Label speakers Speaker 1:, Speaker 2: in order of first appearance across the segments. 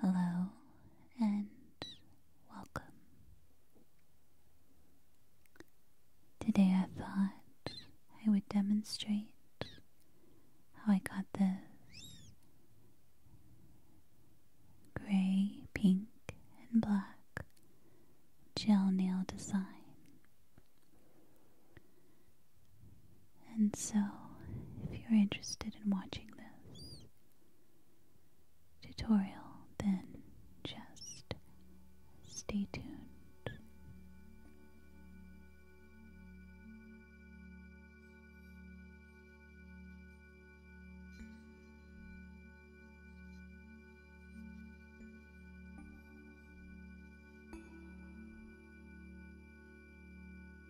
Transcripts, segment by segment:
Speaker 1: Hello and welcome. Today I thought I would demonstrate how I got this gray, pink, and black gel nail design. And so, if you're interested in watching this tutorial, then just stay tuned.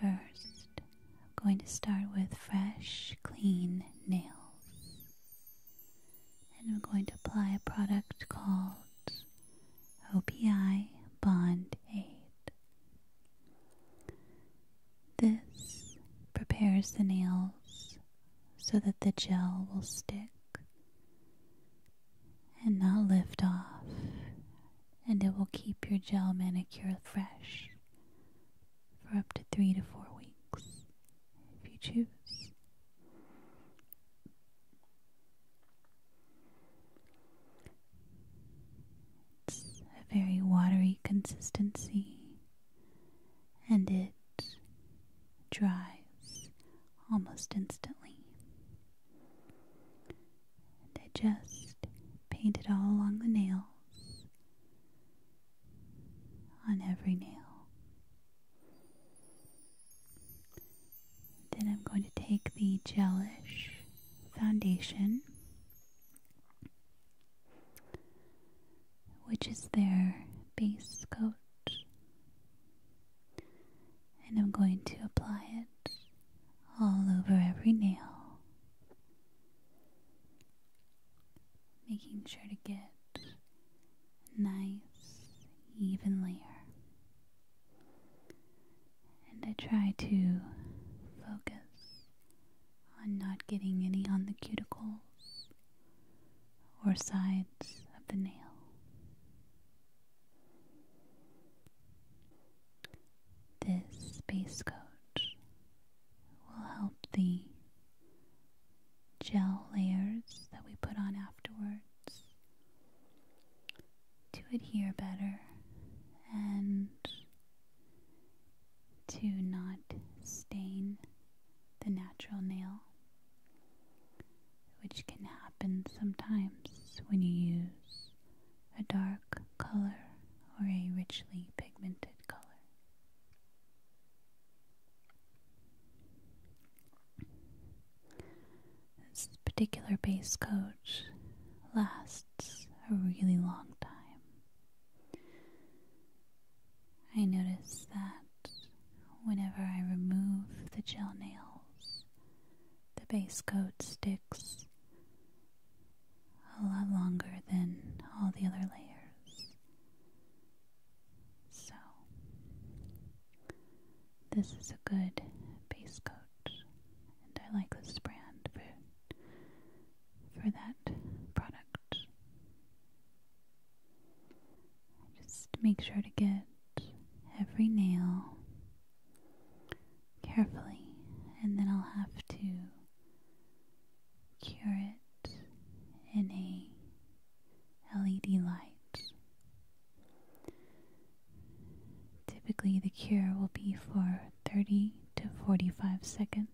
Speaker 1: First, I'm going to start with fresh, clean nails. And I'm going to apply a product called OPI Bond Aid. This prepares the nails so that the gel will stick and not lift off, and it will keep your gel manicure fresh for up to three to four weeks if you choose. It's a very watery consistency and it dries almost instantly. I just paint it all along the nails, on every nail. Then I'm going to take the gelish foundation, which is their base coat and I'm going to apply it all over every nail, making sure to get nice, even layer. And I try to focus on not getting any on the cuticles or sides of the nail. This space coat will help the gel layers that we put on afterwards to adhere better and to not stain the natural nail which can happen sometimes when you use a dark color or a richly pigmented color. This particular base coat lasts a really long time. I notice that whenever I remove the gel nails, the base coat sticks a lot longer than all the other layers. So, this is a good base coat, and I like this brand for, for that product. Just make sure to get every nail carefully, and then I'll have to cure it in a LED light. Typically, the cure will be for 30 to 45 seconds.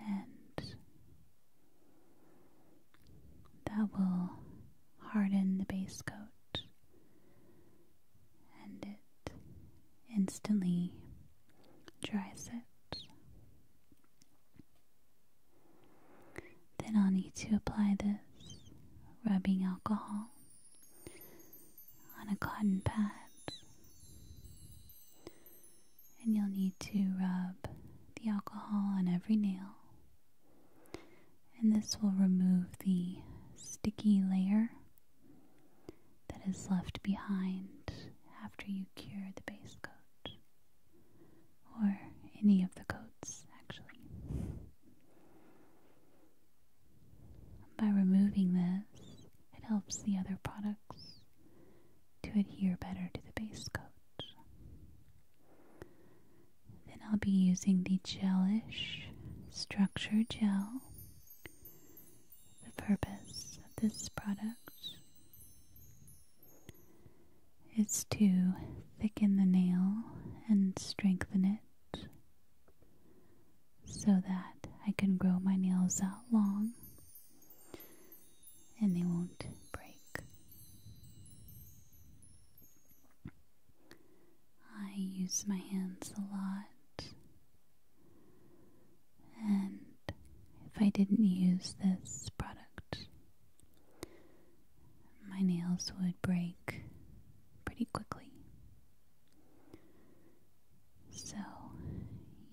Speaker 1: And that will harden the base coat and it instantly dries it. Then I'll need to apply this rubbing alcohol on a cotton pad and you'll need to rub the alcohol on every nail. And this will remove the sticky layer that is left behind after you cure the base coat, or any of the coats actually. By removing this, it helps the other products to adhere better to the base coat. Then I'll be using the gelish structure gel. The purpose of this product is to thicken the nail and strengthen it so that I can grow my nails out long and they won't break. I use my hands a lot, and if I didn't use this product, my nails would break pretty quickly. So,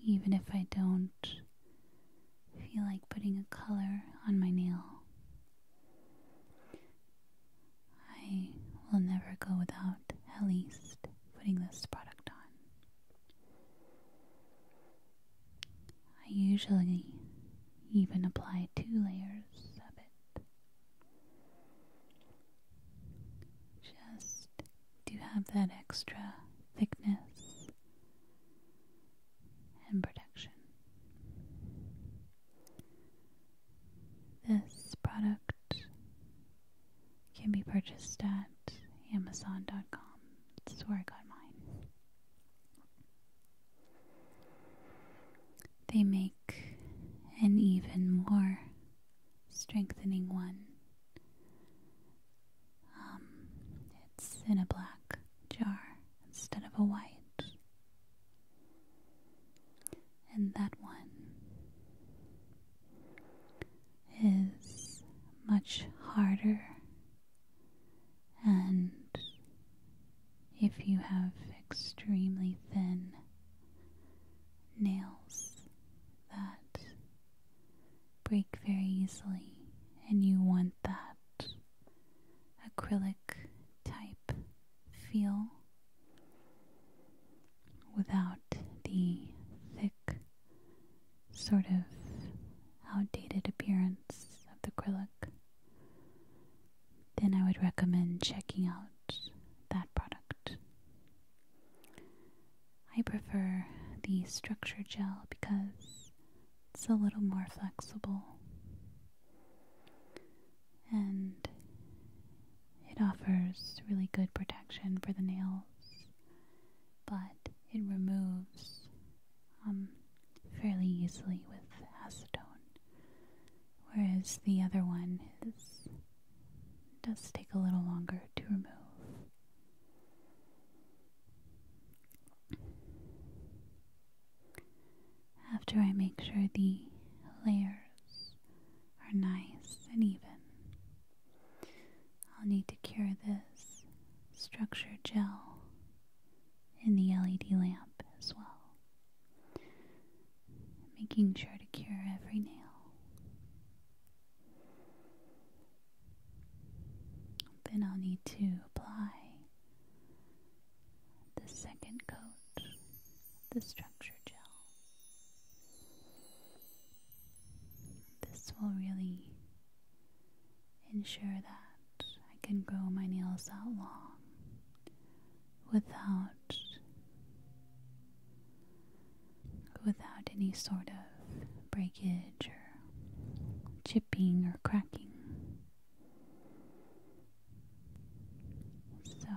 Speaker 1: even if I don't feel like putting a color on my nail. I will never go without at least putting this product on. I usually even apply two layers of it just to have that extra thickness and production. This product can be purchased at Amazon.com. That's where I got mine. They make an even more strengthening one um, it's in a black jar instead of a white. And that one is much harder. And if you have extremely thin nails that break very easily, and you want that acrylic type feel without the thick, sort of outdated appearance of the acrylic, then I would recommend checking out that product. I prefer the structure gel because it's a little more flexible and it offers really good protection for the nails, but it removes um, fairly easily with acetone, whereas the other one does take a little longer to remove. After I make sure the layers are nice and even, I'll need to cure this structure gel in the LED lamp as well, making sure to cure every nail. Then I'll need to apply the second coat, the structure gel. This will really ensure that I can grow my nails out long without without any sort of breakage or chipping or cracking. So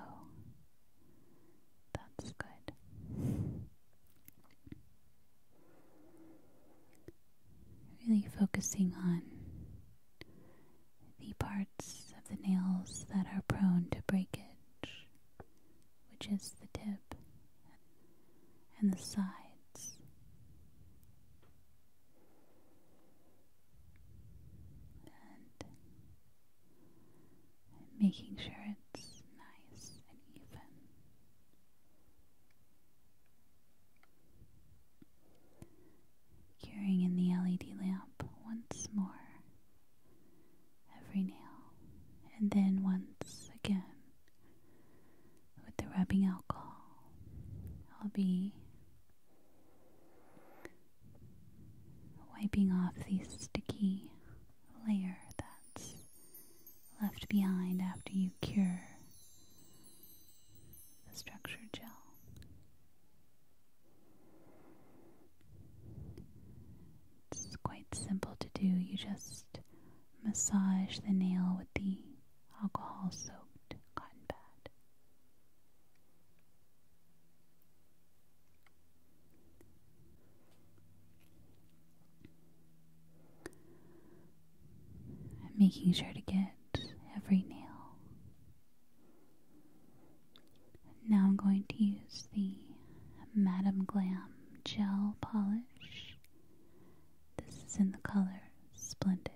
Speaker 1: that's good. Really focusing on the parts of the nails that are prone to breakage, which is the tip and the sides. And making sure it's nice and even. Curing in the LED lamp once more every nail, and then once again with the rubbing alcohol. I'll be wiping off the sticky layer that's left behind after you cure the structure gel. It's quite simple to do. You just massage the nail with the alcohol soaked cotton pad. I'm making sure to get every nail. Now I'm going to use the Madame Glam gel polish this is in the color Splendid.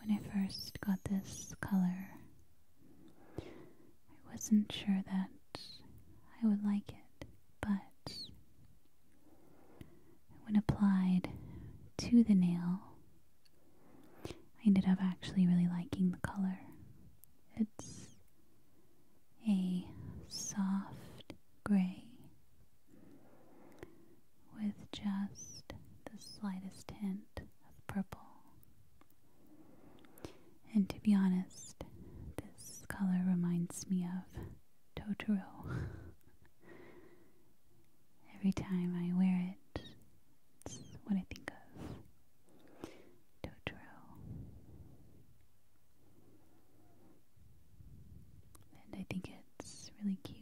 Speaker 1: When I first got this color, I wasn't sure that I would like it, but when applied to the nail, I ended up actually really liking the color. It's a soft gray with just the slightest hint of purple. And to be honest, this color reminds me of Totoro. Every time I wear it, it's what I think of. Totoro. And I think it's really cute.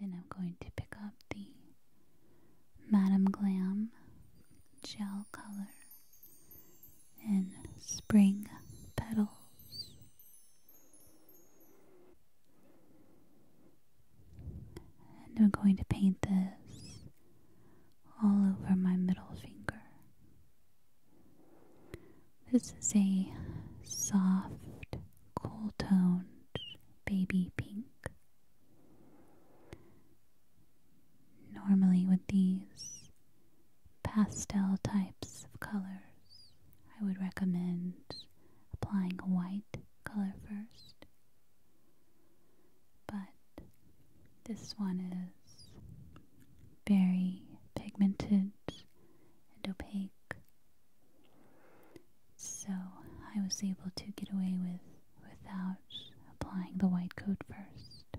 Speaker 1: Then I'm going to pick up the Madam Glam gel color and spring petals. And I'm going to paint this all over my middle finger. This is a soft, cool toned baby pink. Normally, with these pastel types of colors, I would recommend applying a white color first. But this one is very pigmented and opaque, so I was able to get away with without applying the white coat first.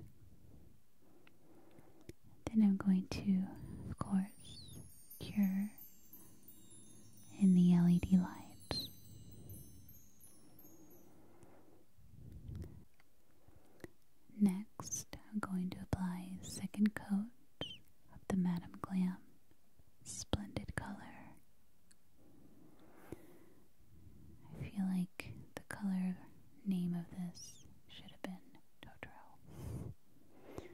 Speaker 1: Then I'm going to, of course, cure in the LED light. Next, I'm going to apply a second coat of the Madame Glam Splendid Color I feel like the color name of this should have been Totoro.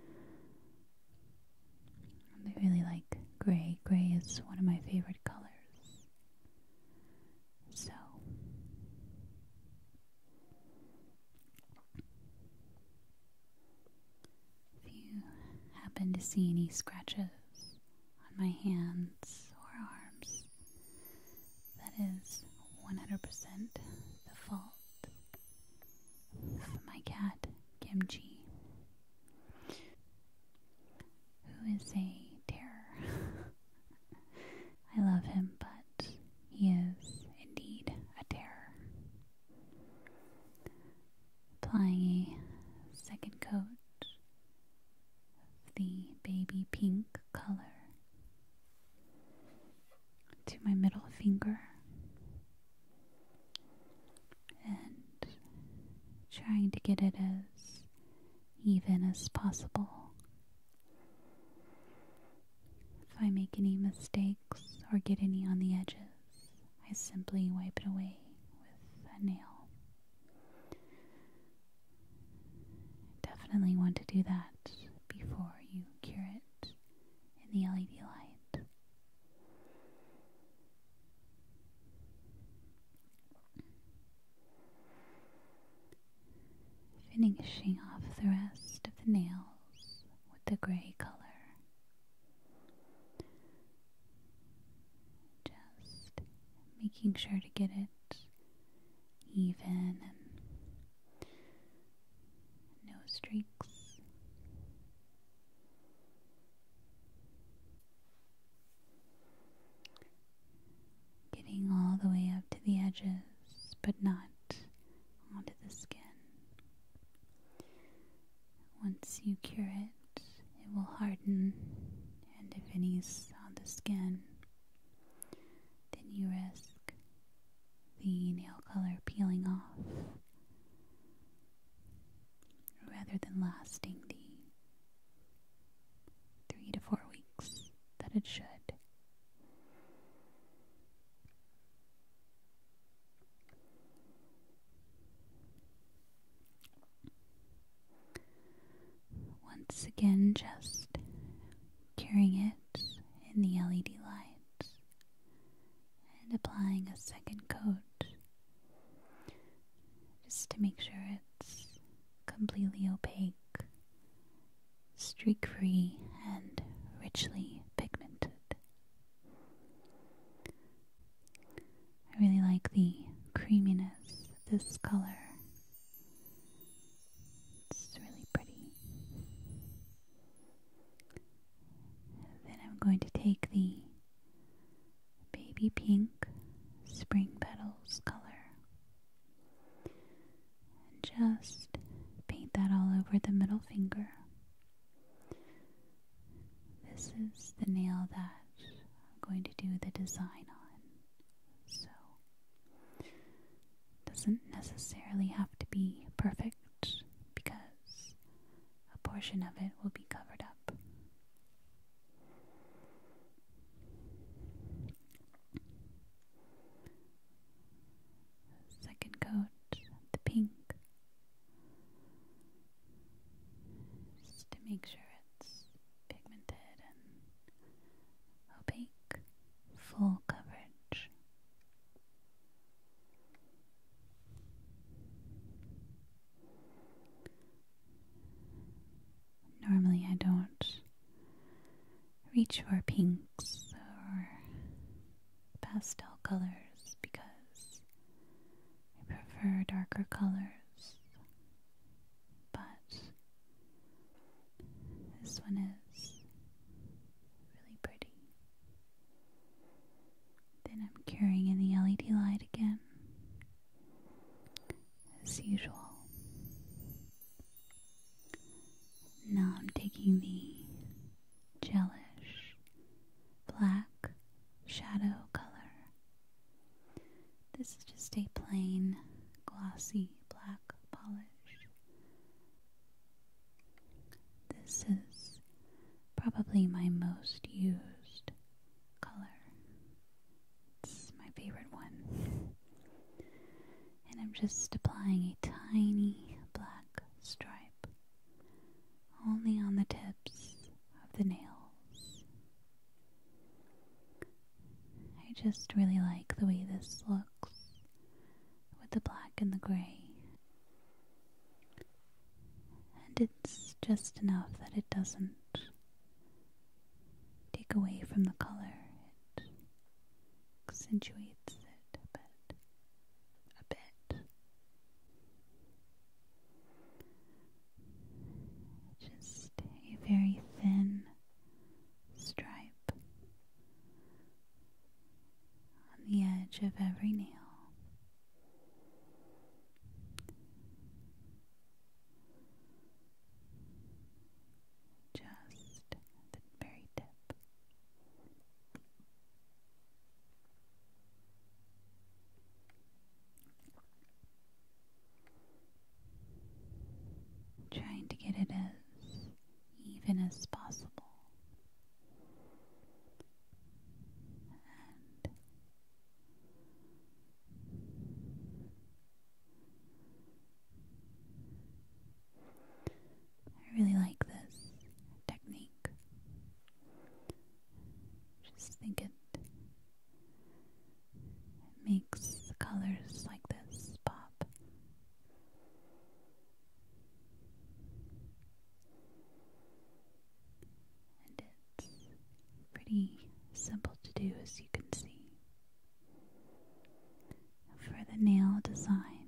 Speaker 1: I really like gray. Gray is one of my favorite colors. So, if you happen to see any scratches on my hands or arms. That is 100% the fault of my cat, Kimchi, who is a terror. I love him, but he is indeed a terror. Applying a second coat the baby pink color to my middle finger and trying to get it as even as possible. If I make any mistakes or get any on the edges, I simply wipe it away with a nail. Definitely want to do that before you cure it in the LED light. Finishing off the rest of the nails with the gray color. Just making sure to get it even and no streaks. Getting all the way up to the edges, but not onto the skin. Once you cure it, it will harden, and if any's on the skin, then you risk the nail color peeling off rather than lasting the three to four weeks that it should. Once again, just curing it in the LED light and applying a second coat just to make sure it's completely opaque, streak free, and richly pigmented. I really like the creaminess of this color. It's really pretty. Then I'm going to take the baby pink spring petals color and just paint that all over the middle finger. This is the nail that I'm going to do the design on. So, doesn't necessarily have to be perfect because a portion of it will be covered up. Second coat, the pink just to make sure it's pigmented and opaque, full coverage. Normally, I don't reach for pinks or pastel colors because I prefer darker colors but this one is really pretty. Then I'm carrying in the LED light again, as usual. Now I'm taking the gelish black shadow color this is just a plain glossy black polish. This is probably my most used color. It's my favorite one. And I'm just applying a tiny black stripe only on the tips of the nails. I just really like the way this looks with the black and the gray. And it's just enough that it doesn't take away from the color, it accentuates it a bit. A bit just a very thin stripe on the edge of every nail. Just the very tip. Trying to get it as even as possible. I really like this technique. Just think it it makes colors like this pop. And it's pretty simple to do, as you can see. For the nail design,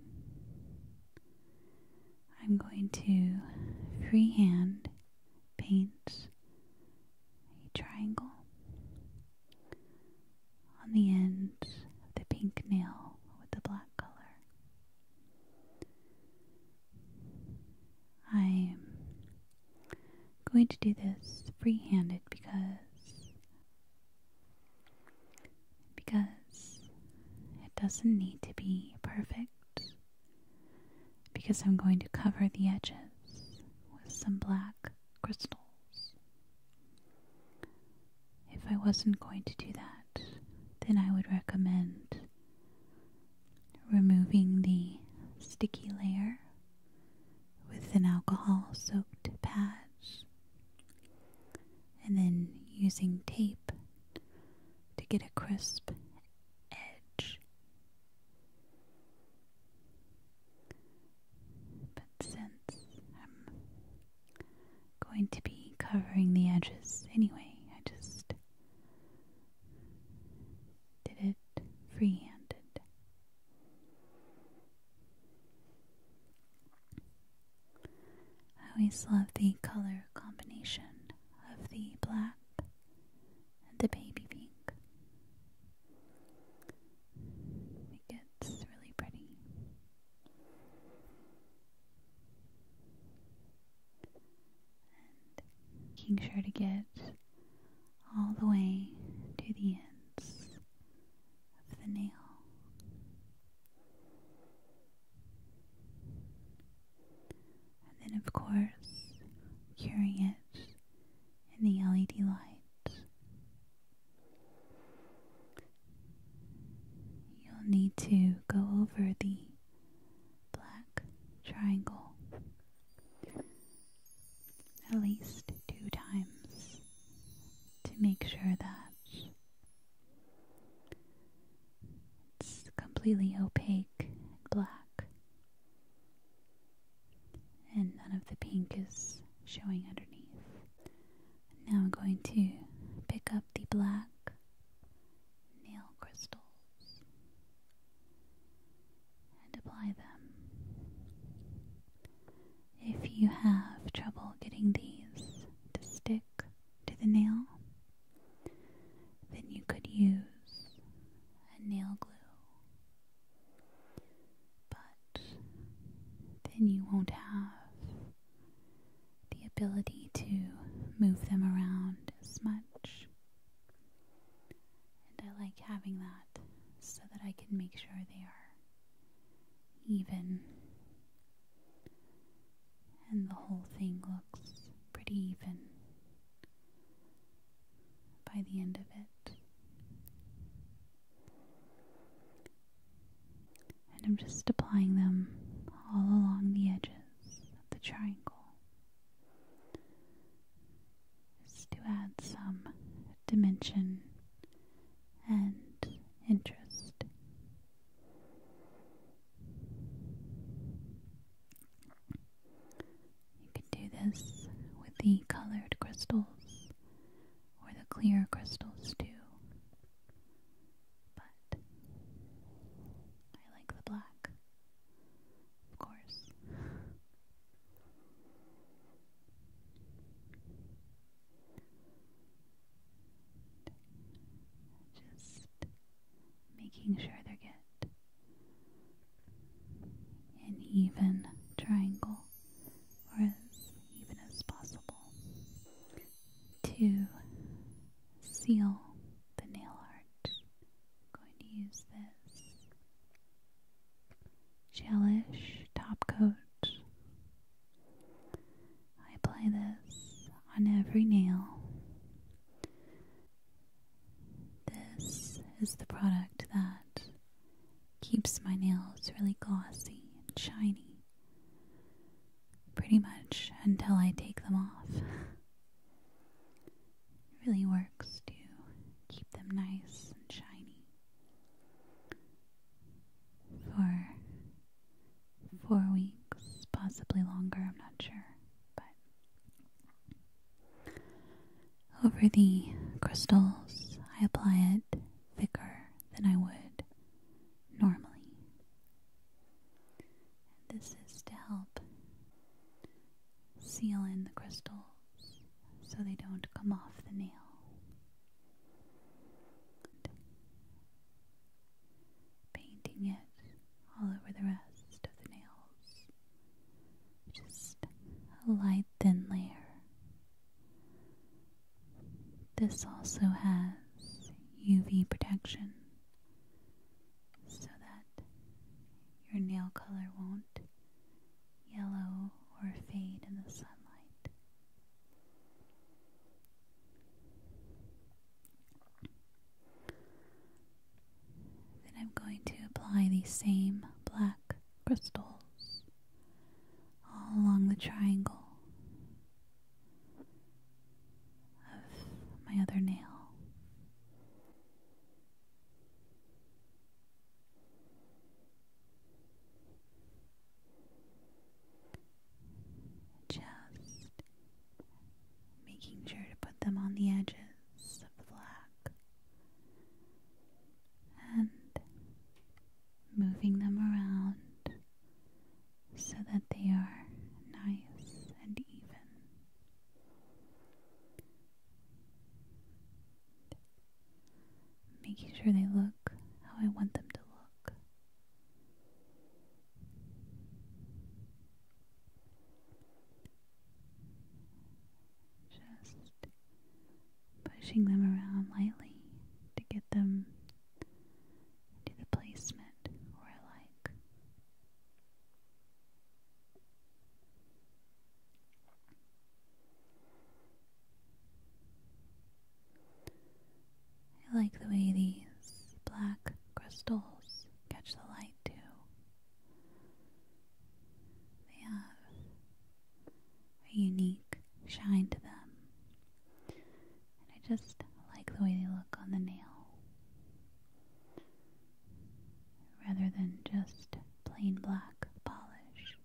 Speaker 1: I'm going to freehand paints a triangle. On the end of the pink nail with the black color. I'm going to do this free-handed because because it doesn't need to be perfect because I'm going to cover the edges with some black crystals. If I wasn't going to do that, then I would recommend removing the sticky layer with an alcohol soaked patch and then using tape to get a crisp edge. But since I'm going to be covering the edges anyway, I just did it free handed. I always love the color combination of the black and the baby pink. It gets really pretty. And making sure to get all the way to the ends of the nail. And then, of course, curing it in the LED lights. You'll need to go over the black triangle at least two times to make sure that it's completely opaque and black and none of the pink is showing underneath. Now I'm going to pick up the black nail crystals and apply them. If you have trouble getting these to stick to the nail, then you could use and nail glue. But then you won't have the ability to move them around as much. And I like having that so that I can make sure they are even and the whole thing looks pretty even by the end of it. And I'm just applying them all along the edges of the triangle just to add some dimension and interest. You can do this with the colored crystals or the clear crystals too. But I like the black, of course. Just making sure they get an even triangle or as even as possible to seal the nail art. I'm going to use this gelish top coat. I apply this on every nail this is the product that keeps my nails really glossy and shiny pretty much until I take them off. really works to keep them nice and shiny for four weeks, possibly longer, I'm not sure, but over the crystals, I apply it thicker than I would normally. this is to help seal in the crystals so they don't come off the nail. painting it all over the rest of the nails. Just a light thin layer. This also has UV protection so that your nail color won't yellow or fade in the sunlight. Then I'm going to apply these same black crystals all along the triangle of my other nail. Just making sure to put them on the edges of the black and moving them around so that they are nice and even. Making sure they look how I want them to look. Just pushing them around lightly to get them to the placement or like. I like the way these black crystals catch the light too. They have a unique shine to them. And I just like the way they look on the nail. Rather than just plain black polish.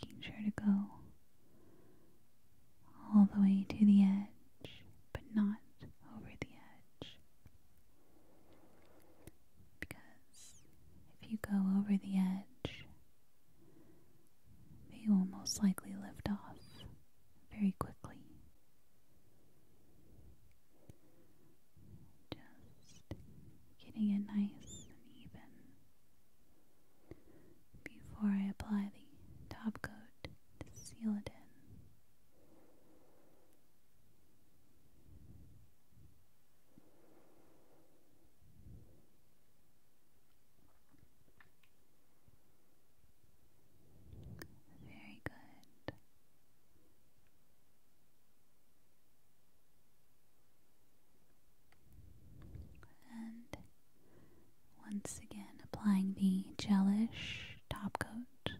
Speaker 1: Making sure to go all the way to the edge, but not over the edge. Because if you go over the edge, they will most likely lift off very quickly. Just getting it nice and even before I apply the top coat to seal it in. Very good. And once again, applying the gelish top coat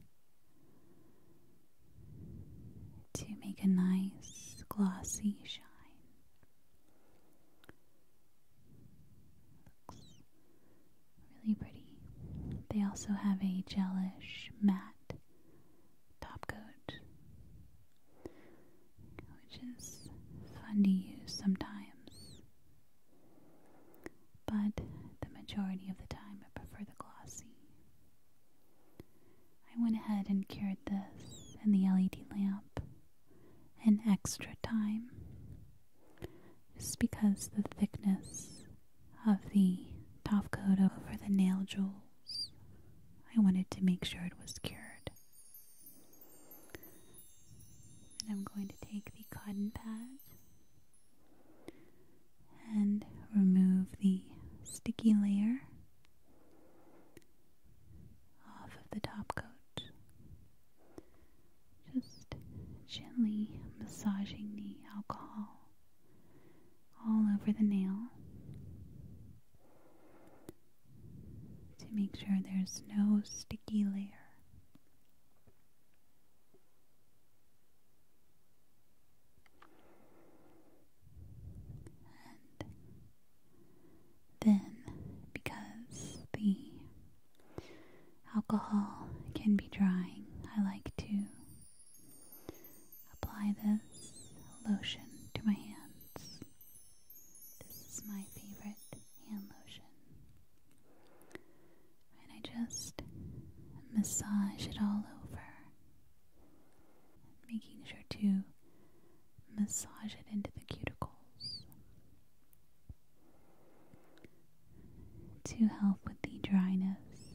Speaker 1: to make a nice glossy shine. really pretty. They also have a gelish matte top coat, which is fun to use sometimes, but the majority of the time I prefer the glossy. I went ahead and cured this and the LED lamp an extra time just because the thickness of the top coat over the nail jewels. I wanted to make sure it was cured. And I'm going to take the cotton pad and remove the sticky layer off of the top coat. Just gently massaging the alcohol all over the nail to make sure there's no sticky layer. And then, because the alcohol can be drying, I like to Apply this lotion to my hands. This is my favorite hand lotion. And I just massage it all over, making sure to massage it into the cuticles to help with the dryness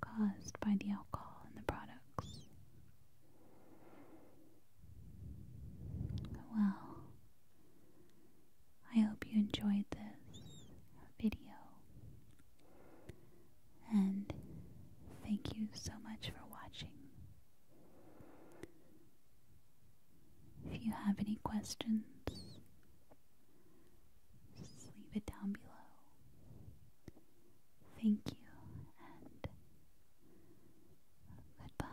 Speaker 1: caused by the alcohol in the products. Well, I hope you enjoyed this video. And thank you so much for watching. If you have any questions, just leave it down below. Thank you and goodbye.